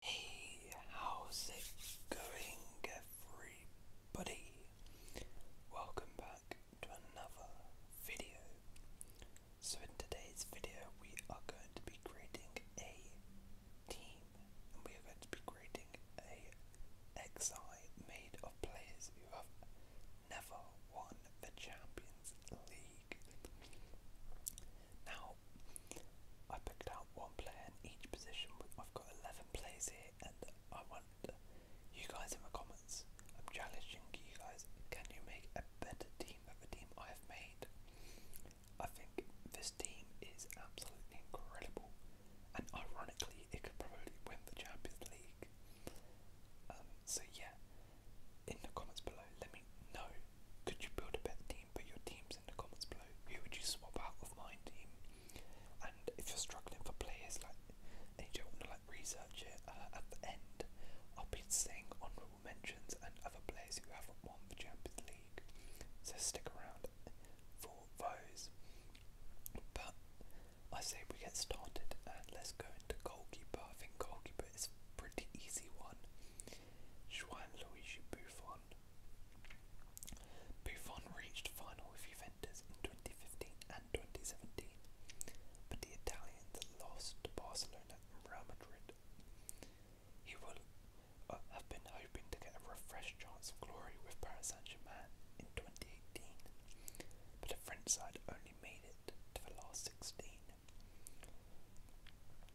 Hey, how's it going, everybody? Welcome back to another video. So, in today's video, we are going to be creating a team and we are going to be creating a XI made of players who have never won the Champions League. Now, I picked out one player in each position. I've got 11 plays here, and I want you guys in the comments. I'm challenging you guys. Can you make a better team than the team I have made? I think this team is absolutely incredible, and ironically, it could probably win the Champions League. Um, so yeah, in the comments below, let me know could you build a better team? Put your teams in the comments below. Who would you swap out of my team? And if you're struggling for players, like, and you don't want to like research it, uh, at the end, I'll be saying honourable mentions and other players who haven't won the Champions League. So stick around for those. But I say we get started and let's go into goalkeeper. I think goalkeeper is a pretty easy one. Joan Luigi Buffon. Buffon reached final with Juventus in 2015 and 2017, but the Italians lost to Barcelona and Real Madrid. He will uh, have been hoping to get a refreshed chance of glory with Paris Saint-Germain in 2018, but the French side only made it to the last 16.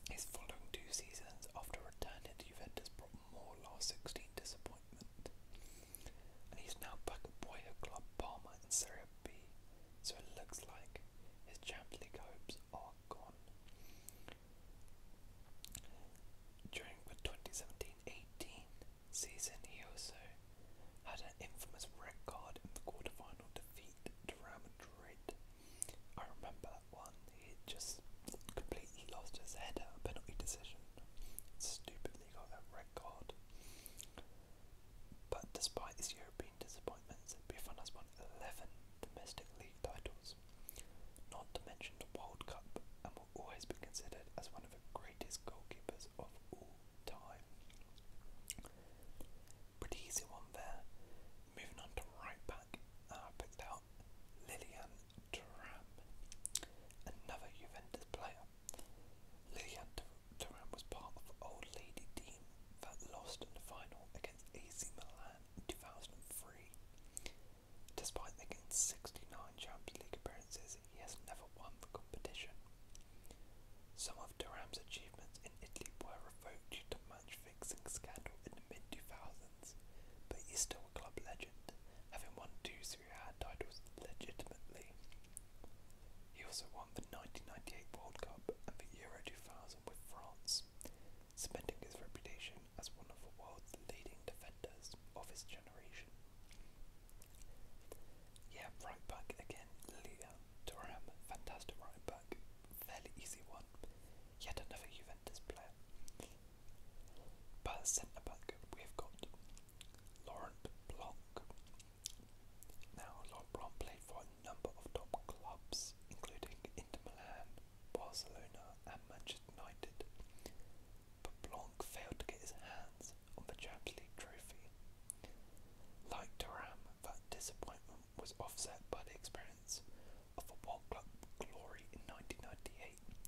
His following two seasons after returning to Juventus brought more last 16 disappointment. And he's now back at boyhood club Parma in Serie B, so it looks like his Champions League hopes are gone. During the 2017-18 season, he also had an infamous record in the quarterfinal defeat to Real Madrid I remember that one. He just completely lost his head at a penalty decision. Stupidly got that red card. But despite his European disappointments, Buffon has won 11 domestic league titles, not to mention the World Cup, and will always be considered as one of the greatest goalkeepers of all time. Pretty easy one there. Moving on to right back. Ah, I picked out Lilian Thuram, another Juventus player. Lilian Thuram was part of the old lady team that lost in the final against AC Milan in 2003. Despite making 69 Champions League appearances, he has never won the competition. Some of Thuram's achievements in Italy were revoked due to match fixing scandal mid 2000s, but he's still a club legend, having won two Serie A titles legitimately. He also won the 1998 World Cup and the Euro 2000 with France, cementing his reputation as one of the world's leading defenders of his generation. Yeah, right back again, Liam Durham, fantastic right back fairly easy one. Yet another Juventus player. But centre back, we've got Laurent Blanc. Now, Laurent Blanc played for a number of top clubs, including Inter Milan, Barcelona, and Manchester United. But Blanc failed to get his hands on the Champions League trophy. Like Durham, that disappointment was offset by the experience a football club glory in 1998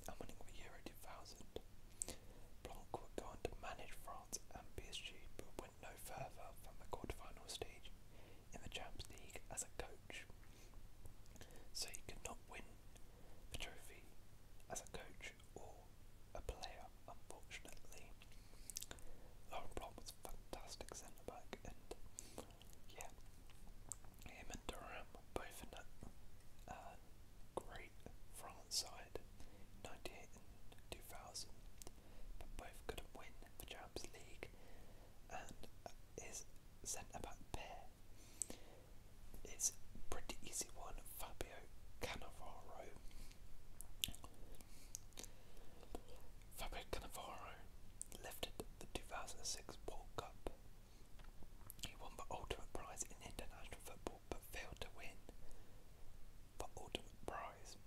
and winning Euro 2000. Blanc would go on to manage France and PSG but went no further than the quarterfinal stage in the Champions League as a coach. So he could not win the trophy as a coach or a player, unfortunately. Laurent Blanc was fantastic centre back and yeah, him and both in that uh, great France side, 98 2000, but both couldn't win the Champions League. And his centre back pair is pretty easy one, Fabio Cannavaro. Fabio Cannavaro lifted the 2006 World Cup. He won the ultimate prize in international football but failed to win the ultimate prize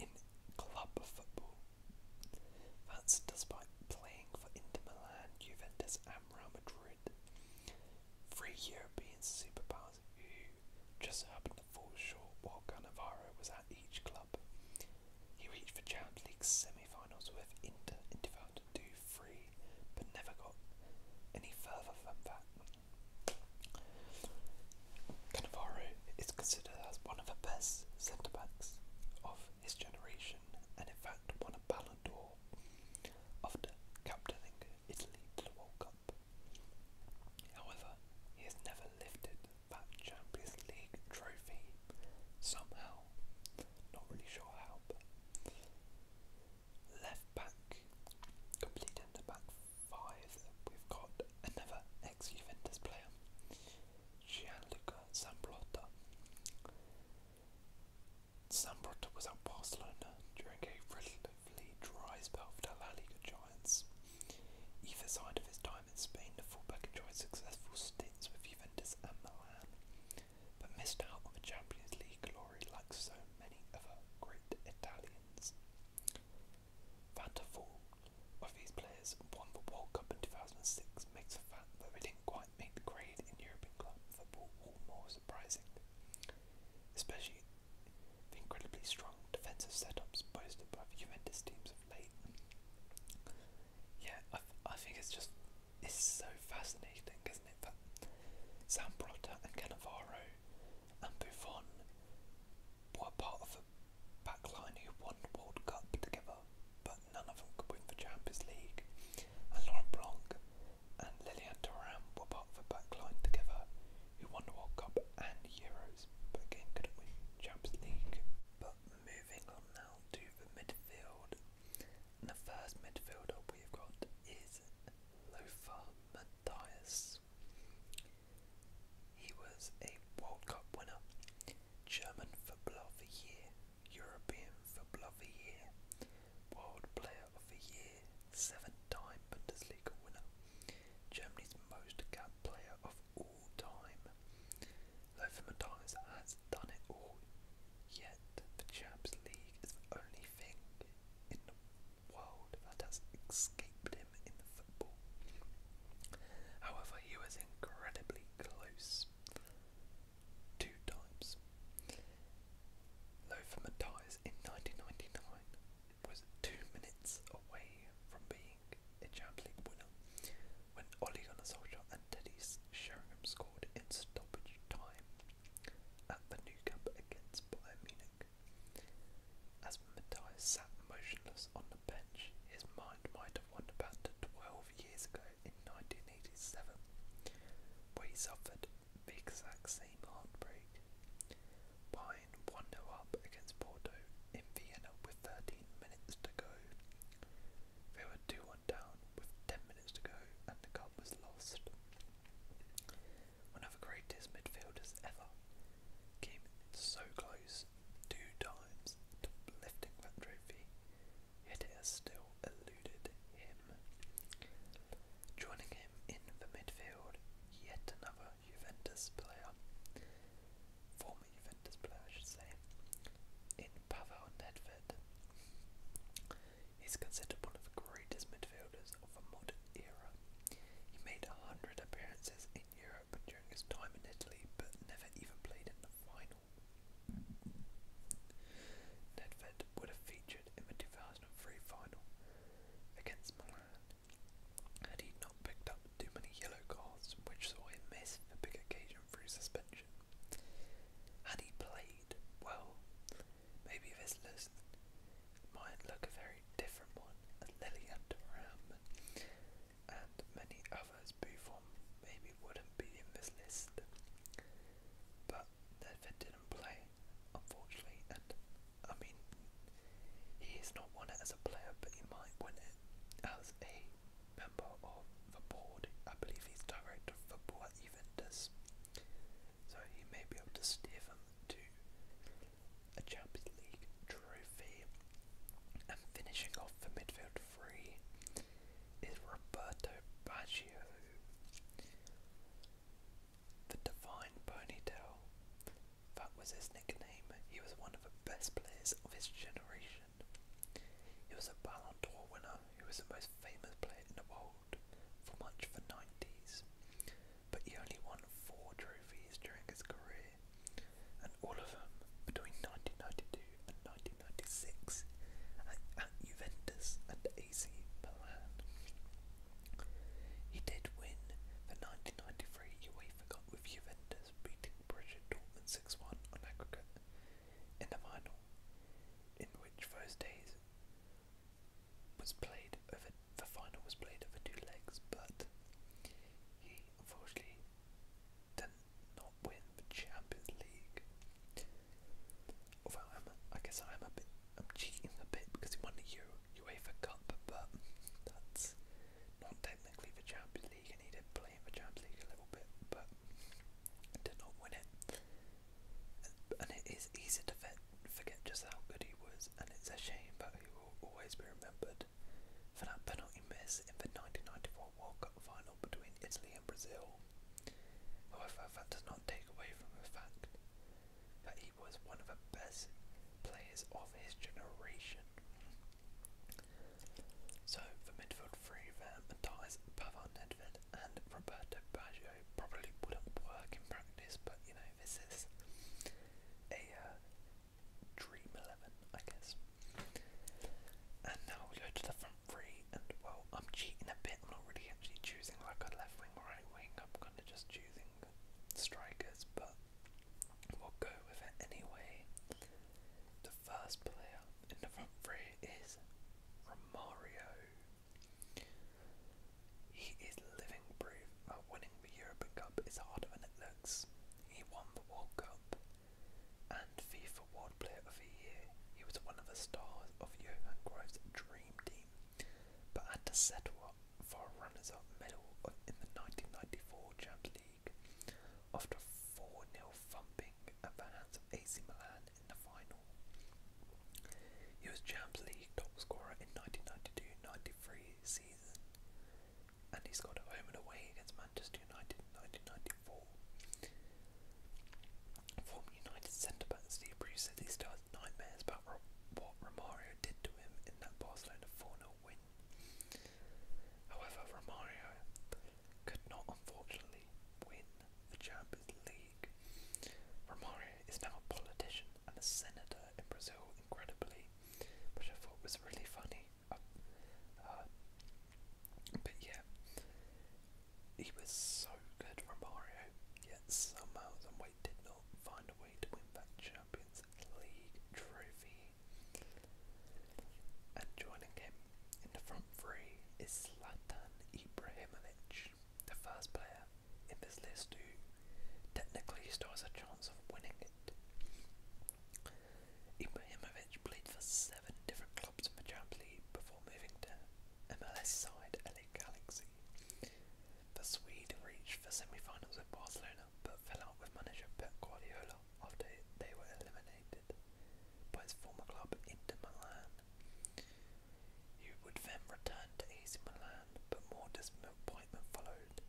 in club football. That's despite playing for Inter Milan, Juventus, and Real Madrid, three European superpowers who just happened to fall short while Cannavaro was at each club. He reached the Champions League semi-finals with Inter in 2002 but never got any further from that. Cannavaro is considered as one of the best centre backs of his generation, and in fact won a Ballon d'Or after captaining Italy to the World Cup. However, he has never lifted that Champions League trophy somehow. Not really sure how, but left back completing the back five. We've got another ex-Juventus player, Gianluca Zambrotta. Zambrotta was at Barcelona during a relatively dry spell for La Liga Giants. Either side of his time in Spain, the fullback enjoyed successful stints with Juventus and Milan, but missed out on the Champions League glory like so many other great Italians. Van der Vaart, of these players, won the World Cup in 2006, makes the fact that they didn't quite make the grade in European club football all more surprising, especially the incredibly strong defensive setups boasted by Juventus teams late. Yeah, I, I think it's just it's so fascinating, isn't it? That Zambrotta and Cannavaro and Buffon were part of a backline who won World Cup together, but none of them could win the Champions League. And Laurent Blanc and Lilian Thuram were part of a backline together who won World Cup and Euros, but again couldn't win Champions League. But moving on now to the midfield. the first midfielder we've got is Lothar Matthias. He was a World Cup winner, German Footballer of the Year, European Footballer of the Year, World Player of the Year, seven time Bundesliga winner, Germany's most capped player of all all time. Lothar has done it all, yet the Champs League is the only thing in the world that has escaped him in football. However, he was incredibly close two times. Lothar in 1999 was two minutes away from being a Champions winner when Ole Gunnar and Teddy Sheringham scored in stoppage time at the new camp against Bayern Munich. As Matthias sat motionless on the bench, his mind might have wandered back to 12 years ago in 1987, where he suffered the exact same heartbreak. 1 0 up against Porto in Vienna with 13 minutes to go. They were 2 1 down with 10 minutes to go, and the cup was lost. One of the greatest midfielders ever came so close two times to lifting that trophy, yet it still eluded him. Joining him in the midfield, yet another Juventus player former Juventus player I should say, in Pavel Nedved. He's considered one of the greatest midfielders of a modern era. He made a hundred appearances in Europe during his time in Italy, but never even played in the final. Nedved would have featured in the 2003 final against Milan man. Had he not picked up too many yellow cards, which saw him miss a big occasion through suspension. Had he played well, maybe this list might look a very different one, and Lillian Durham and many others Buffon maybe wouldn't be in this list. But they didn't play, unfortunately, and I mean, he has not won it as a player, but he might win it as a member of the board. I believe he's director of football at Juventus. So he may be able to steer them to a Champions League trophy. And finishing off the midfield free is Roberto Baggio. The Divine Ponytail. That was his nickname. He was one of the best players of his generation. He was a Ballon d'Or winner He was the most famous player in the world for much of the 90s. But he only won four trophies during his career, and all of them between 1992 and 1996 at Juventus and AC Milan. He did win the 1993 UEFA Cup with Juventus beating Bridget 6-1 on aggregate in the final, in which those days was played the final was played over two legs, but he unfortunately did not win the Champions League. Although I guess I'm a bit, I'm cheating a bit because he won the Euro UEFA Cup, but that's not technically the Champions League, and he did play in the Champions League a little bit, but did not win it. And it is easy to forget just how good he was, and it's a shame that he will always be remembered for that penalty miss in the 1994 World Cup final between Italy and Brazil. However, that does not take away from the fact that he was one of the best players of his generation. So for midfield three there, Matthias Pavard Nedved and Roberto Baggio probably wouldn't work in practice, but you know this is a uh, dream eleven, I guess. And now we go to the front three, and well, I'm cheating a bit. I'm not really actually choosing like a left wing, or right wing. I'm kind of just choosing strikers, but we'll go with it anyway. The first player in the front three is Romario. He is living proof that winning the Europa Cup is harder than it looks. He won the World Cup and FIFA World Player of the Year. He was one of the stars of Johan Cruyff's dream team, but had to settle for runners up medal in the 1994 Champions League after a 4 0 thumping at the hands of AC Milan in the final. He was Champions League top scorer in 1992 93 season and he scored at home and away against Manchester United in 1994. Former United centre back Steve Bruce said he started nightmares about what Romario did to him in that Barcelona 4 0 win However, Romario could not unfortunately win the Champions League. Romario is now a politician and a senator in Brazil, incredibly, which I thought was really funny. Uh, uh, but yeah, he was so good, Romario, yet somehow, some way, did not find a way to win that Champions League trophy. And joining him in the front three is Zlatan Ibrahimovic, the first player in this list who technically still has a chance of winning it. Ibrahimovic played for seven different clubs in the Champions League before moving to MLS side LA Galaxy. The Swede reached the semi-finals with Barcelona Barcelona but fell out with manager Pep Guardiola after they were eliminated by his former club Inter Milan. He would then return to AC Milan but more disappointment followed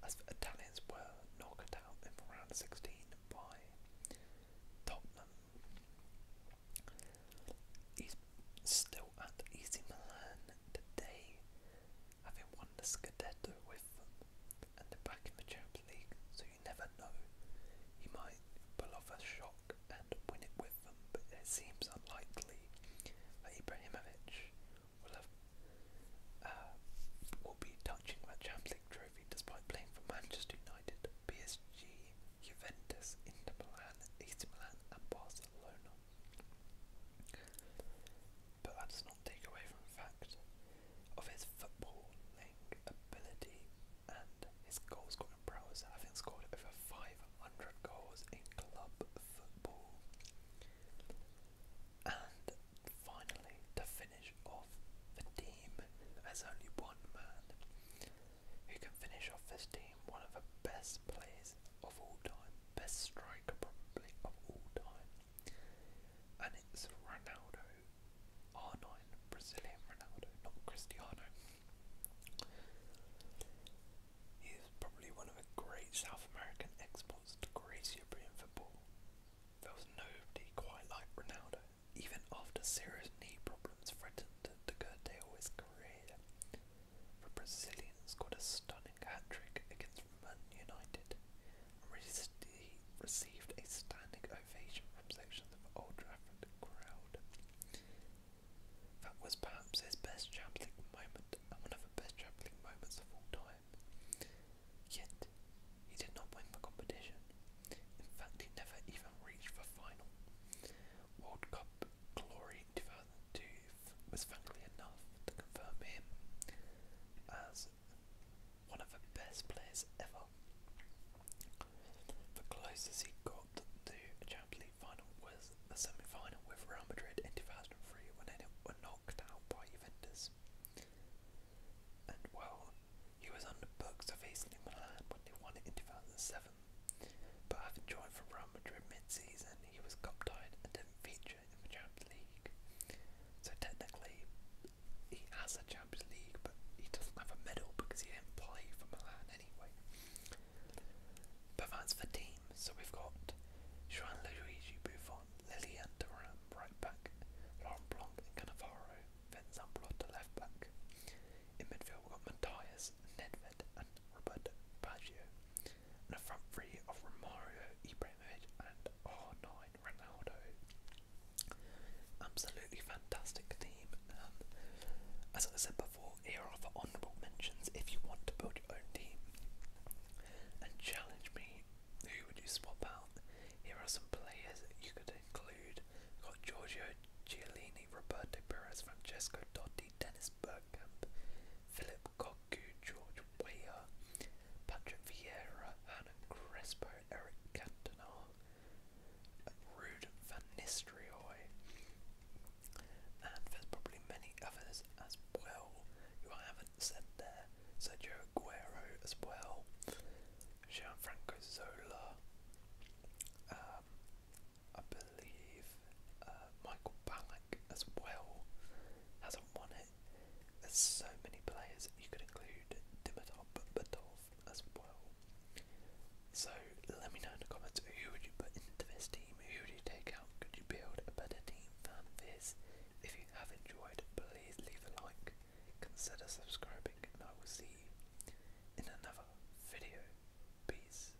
as Italians were knocked out in round 16 by Tottenham. He's still at AC Milan today having won the Scudetto with them, and they back in the Champions League, so you never know. He might pull off a shock and win it with them, but it seems unlikely Ibrahimovic uh, will be touching that Champions League trophy despite playing for Manchester United, PSG, Juventus, Inter Milan, AC Milan, and Barcelona. But that does not take away from the fact of his footballing ability and his goal scoring prowess, having scored over 500 goals in club football. And finally, to finish off the team, there's only one man who can finish off this team, one of the best players of all time best striker probably of all time, and it's Ronaldo, R9, Brazilian Ronaldo, not Cristiano. He probably one of the great South American exports to grace European football. There was nobody quite like Ronaldo, even after serious knee problems threatened to curtail his career. The Brazilians got a stunning opening hat-trick against Man United and received a standing ovation from sections of Old Trafford crowd. That was perhaps his best Champions moment and one of the best Champions moments of all time. Yet, he did not win the competition. In fact, he never even reached the final. World Cup glory 2002 was frankly enough to confirm him as one of the best players ever. The closest he got to a Champions League final was the semi final with Real Madrid in 2003 when they were knocked out by Juventus. And well, he was on the books of AC Milan when they won it in 2007, but having joined from Real Madrid mid season, he was cup tied and didn't feature in the Champions League. So technically, he has a Champions League, but he doesn't have a medal because he didn't play for Milan anyway. But that's the team. So we've got Joan Luigi Buffon, Lilian Thuram, right back, Laurent Blanc and Cannavaro, then Zambrotta left back. In midfield we've got Matthias, Nedved and Robert Baggio and a front three of Romario, Ibrahimovic and R9 Ronaldo. Absolutely fantastic team. Um, as I said before, here are the honourable mentions if you want to build your own team. And challenge me, who would you swap out? Here are some players you could include. got Giorgio Giolini, Roberto Perez, Francesco Totti, Dennis Bergkamp, Philip Lukaku, George Weah, Patrick Vieira, Hernan Crespo, Eric Cantona, Rude Van and there's probably many others as well who I haven't said there. Sergio Aguero as well, Gianfranco Zola, um, I believe uh, Michael Ballet. Black as well hasn't won it. There's so many players you could include Dimitrov Badov as well. So let me know in the comments who would you put into this team, who would you take out, could you build a better team than this? If you have enjoyed, please leave a like, consider subscribing, and I will see you in another video. Peace.